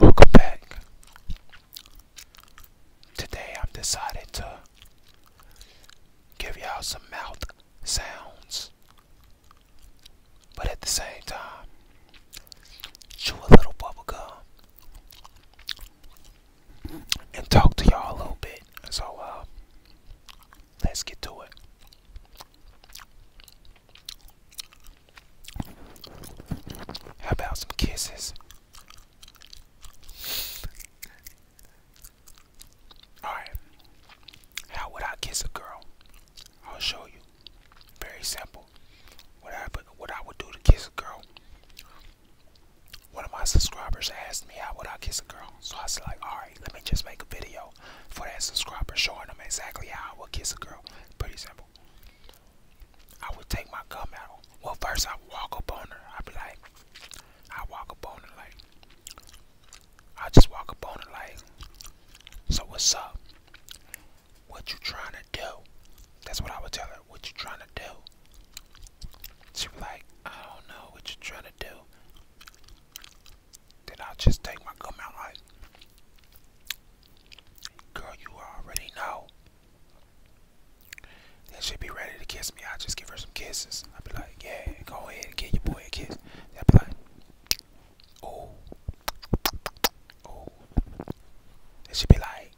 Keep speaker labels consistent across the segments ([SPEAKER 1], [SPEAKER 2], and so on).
[SPEAKER 1] Welcome back. Today I've decided to give y'all some mouth sounds, but at the same time, chew a little bubble gum and talk to y'all a little bit. So, uh, let's get to it. How about some kisses? Alright. How would I kiss a girl? I'll show you. Very simple. What I would do to kiss a girl. One of my subscribers asked me how would I kiss a girl. So I was like, alright, let me just make a video for that subscriber showing them exactly how I would kiss a girl. Pretty simple. I would take my gum out. Well, first I walk up on her. I'd be like, I walk up on her like, I just walk up on her like, so what's up? What you trying to do? That's what I would tell her. What you trying to do? She be like, I don't know what you trying to do. Then I'll just take my gum out like, girl, you already know. Then she'll be ready to kiss me. I'll just give her some kisses. I'll be like, yeah, go ahead and give your boy a kiss. I'll be like, oh, oh. Then she be like,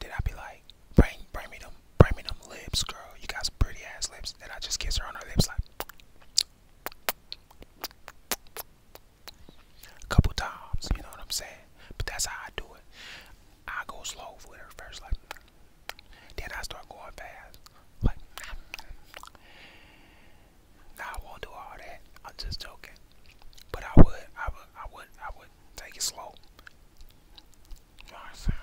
[SPEAKER 1] then I'll be like, bring, bring me them, bring me them lips, girl. You got some pretty ass lips. Then I just kiss her on her lips like, a couple times, you know what I'm saying? But that's how I do it. I go slow for her first, like, then I start going fast, like, nah, I won't do all that. I'm just joking. But I would, I would, I would, I would take it slow. You I'm saying?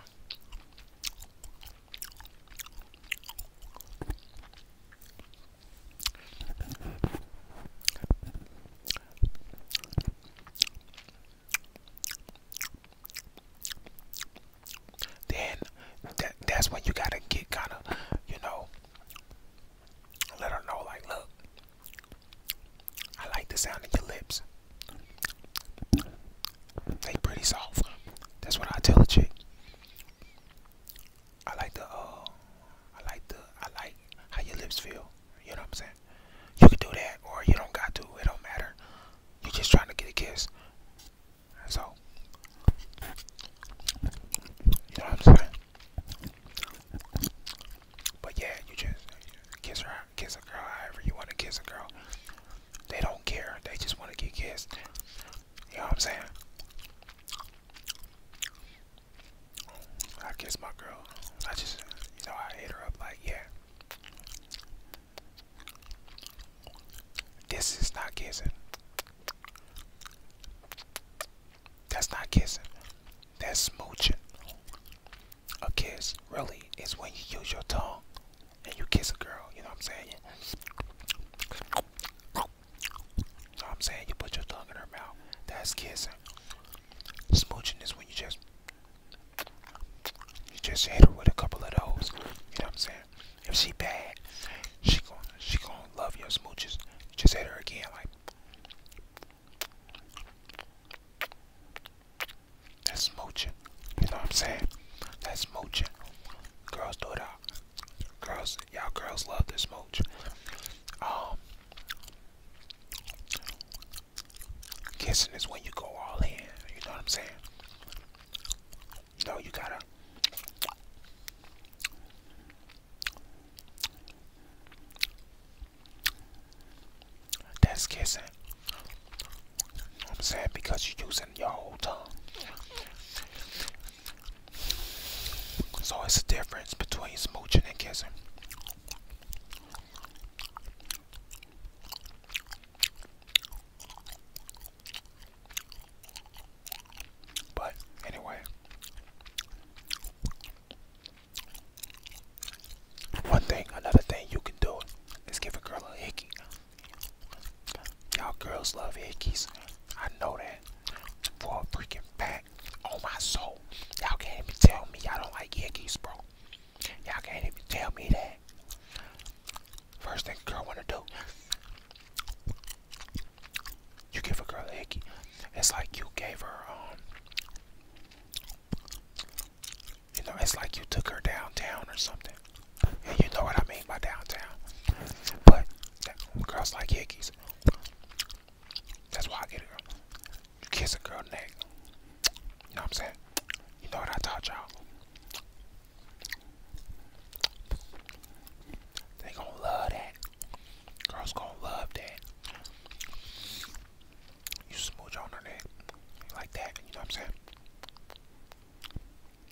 [SPEAKER 1] Then that, that's what you gotta get kind of, you know, let her know like, look, I like the sound of your lips. They pretty soft. That's what I tell a chick. I like the uh I like the I like how your lips feel. You know what I'm saying? You can do that or you don't got to, it don't matter. You're just trying to get a kiss. So you know what I'm saying? But yeah, you just kiss her, kiss a girl however you want to kiss a girl. They don't care. They just want to get kissed. You know what I'm saying? I kiss my girl. I just, you know, I hit her up like, yeah. This is not kissing. That's not kissing. That's smooching. A kiss really is when you use your tongue and you kiss a girl. You know what I'm saying? Know what I'm saying? You put your tongue in her mouth. That's kissing. Smooching is when you just you just hit her with a couple of those. You know what I'm saying? If she bad, she gonna, she gonna love your smooches. just hit her again like that's smooching. You know what I'm saying? That's smooching. Girls do it out. Girls, y'all girls love this smooch. Um, kissing is when you go all in. You know what I'm saying? No, you gotta. That's kissing. I'm saying because you're using your whole tongue. So it's a difference between smooching and kissing. But anyway, one thing, another thing you can do is give a girl a hickey. Y'all girls love hickeys. I know that for a freaking fact that on my soul. Y'all can't even tell me I don't like hickies, bro. Y'all can't even tell me that. First thing girl wanna do, you give a girl a hickey. It's like you gave her, um, you know, it's like you took her downtown or something. And you know what I mean by downtown. But girls like hickies. That's why I get a girl. You kiss a girl neck. You know what I'm saying? You know what I taught y'all? They going love that. Girls gonna love that. You smooch on her neck like that. You know what I'm saying?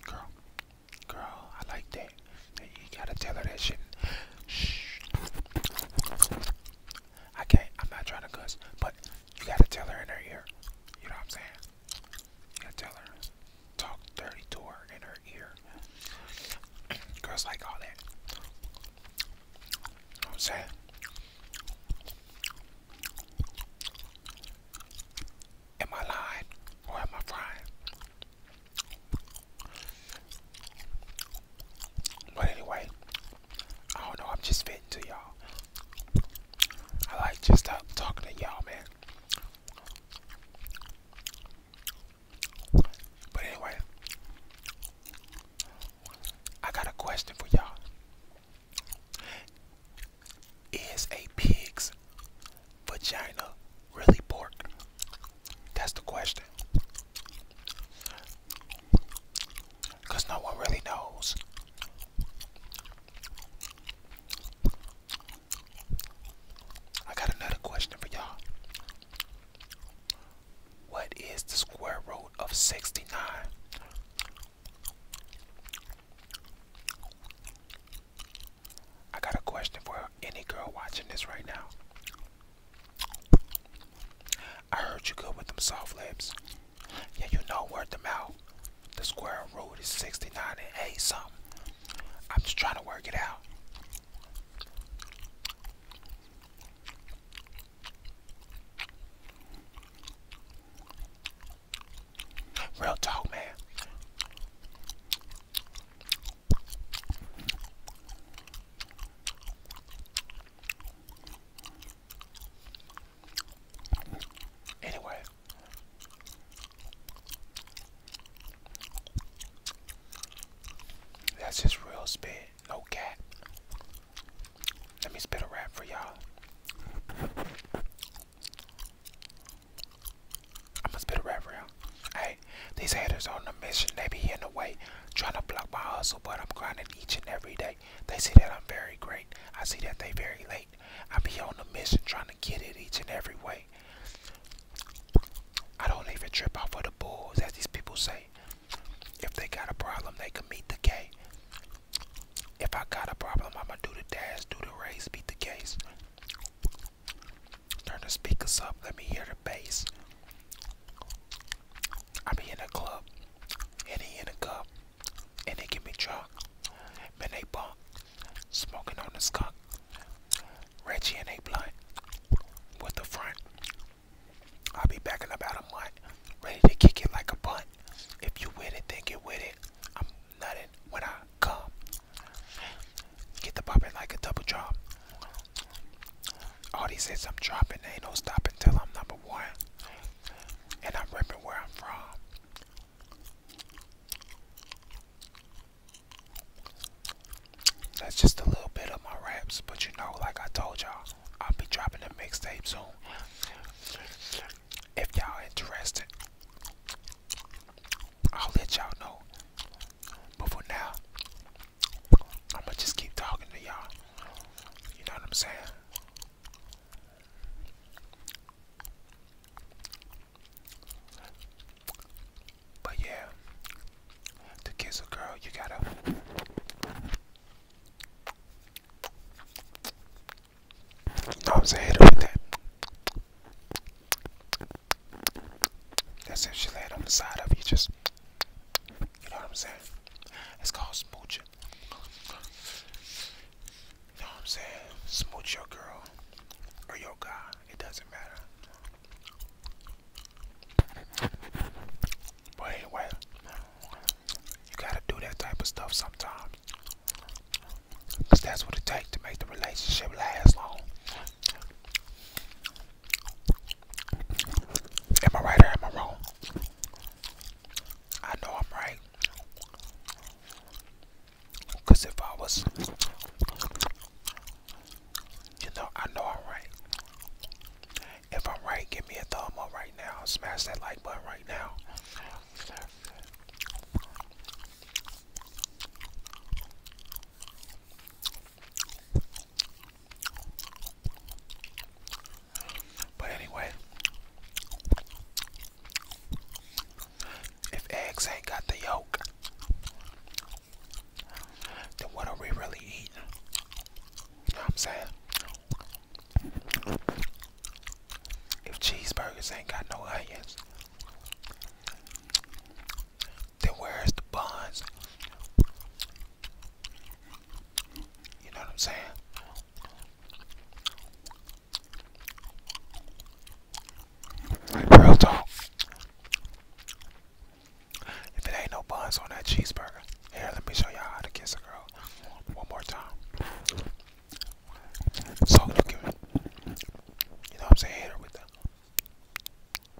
[SPEAKER 1] Girl, girl, I like that. You gotta tell her that shit. Shh. I can't. I'm not trying to cuss, but you gotta tell her in her ear. You know what I'm saying? You gotta tell her. Talk dirty to her in her ear. Girls like all that. You know what I'm saying? Am I lying or am I fine? But anyway, I don't know. I'm just fitting to y'all. I like just uh, talking to y'all, man. But anyway, I got a question for y'all. Is a pig's vagina really pork? That's the question. Because no one really knows. I got another question for y'all. What is the square root of 69? I got a question for any girl watching this right now. I heard you good with them soft lips. Yeah, you know where them out. The square root is 69 and 8 something. I'm just trying to work it out. Real talk, man. Anyway. That's just real spit, no cat. Let me spit a rap for y'all. I'm gonna spit Hey, these haters on the mission, they be in the way. Trying to block my hustle, but I'm grinding each and every day. They see that I'm very great. I see that they very late. I be on the mission trying to get it each and every way. I don't even trip off of the bulls, as these people say. If they got a problem, they can meet the K. If I got a problem, I'ma do the dash, do the race, beat the case. Turn the speakers up. Let me hear the bass. I be in a club, and he in a club, and they give me drunk. Man, they bunk, smoking on the skunk. Reggie and they blunt, with the front. I'll be back in about a month, ready to kick it like a bunt. If you with it, think it with it. I'm nutting when I come. Get the poppin' like a double drop. All these hits I'm dropping, ain't no stopping until I'm number one. And I'm ripping where I'm from. That's just a little bit of my raps, but you know, like I told y'all, I'll be dropping a mixtape soon. If y'all interested, I'll let y'all know. But for now, I'ma just keep talking to y'all. You know what I'm saying? But yeah, to kiss a girl, you gotta. I'm saying? Hit her with that. That's if she laid on the side of you, just you know what I'm saying? It's called smooching. You know what I'm saying? Smooch your girl or your guy. It doesn't matter. But anyway, you gotta do that type of stuff sometimes. Cause that's what it takes to make the relationship last long. Am I right or am I wrong? I know I'm right. Because if I was, you know, I know I'm right. If I'm right, give me a thumb up right now. Smash that like button right now. But anyway, if eggs ain't got the yolk, then what are we really eating? You know what I'm saying? If cheeseburgers ain't got no onions, then where's the buns? You know what I'm saying? Real talk. If it ain't no buns on that cheeseburger, here let me show y'all how to kiss a girl one more time. So you can, you know what I'm saying,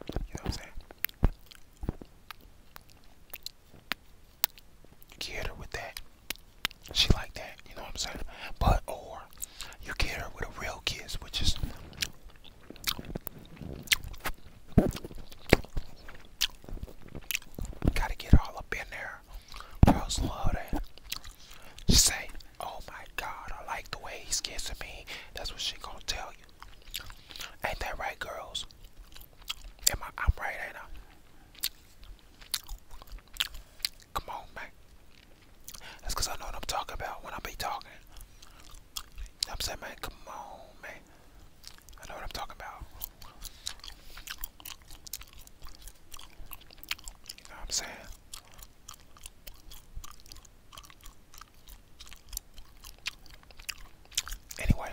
[SPEAKER 1] you know I'm saying? Get her with that. She like that, you know what I'm saying? But or you get her with a real kiss, which is gotta get all up in there. Girls love that. She say, "Oh my God, I like the way he's kissing me." That's what she gonna tell you. Ain't that right, girls? Am I? I'm right, ain't I? Come on, man. That's cause I know what I'm talking about when I be talking. I'm saying, man, come on, man. I know what I'm talking about. You know what I'm saying? Anyway,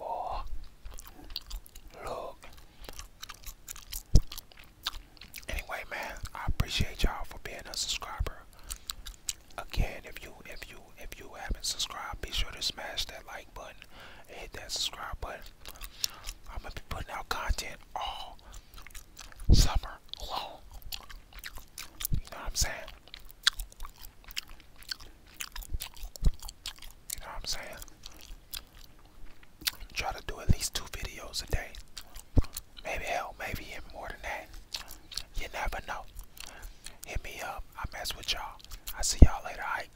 [SPEAKER 1] oh, look. Anyway, man, I appreciate y'all for being a subscriber. Again, if you if you if you haven't subscribed, be sure to smash that like button and hit that subscribe button. I'm gonna be putting out content all summer long. You know what I'm saying? You know what I'm saying? Try to do at least two videos a day. Maybe hell, maybe even more than that. You never know. Hit me up. I mess with y'all. I see y'all later. All right.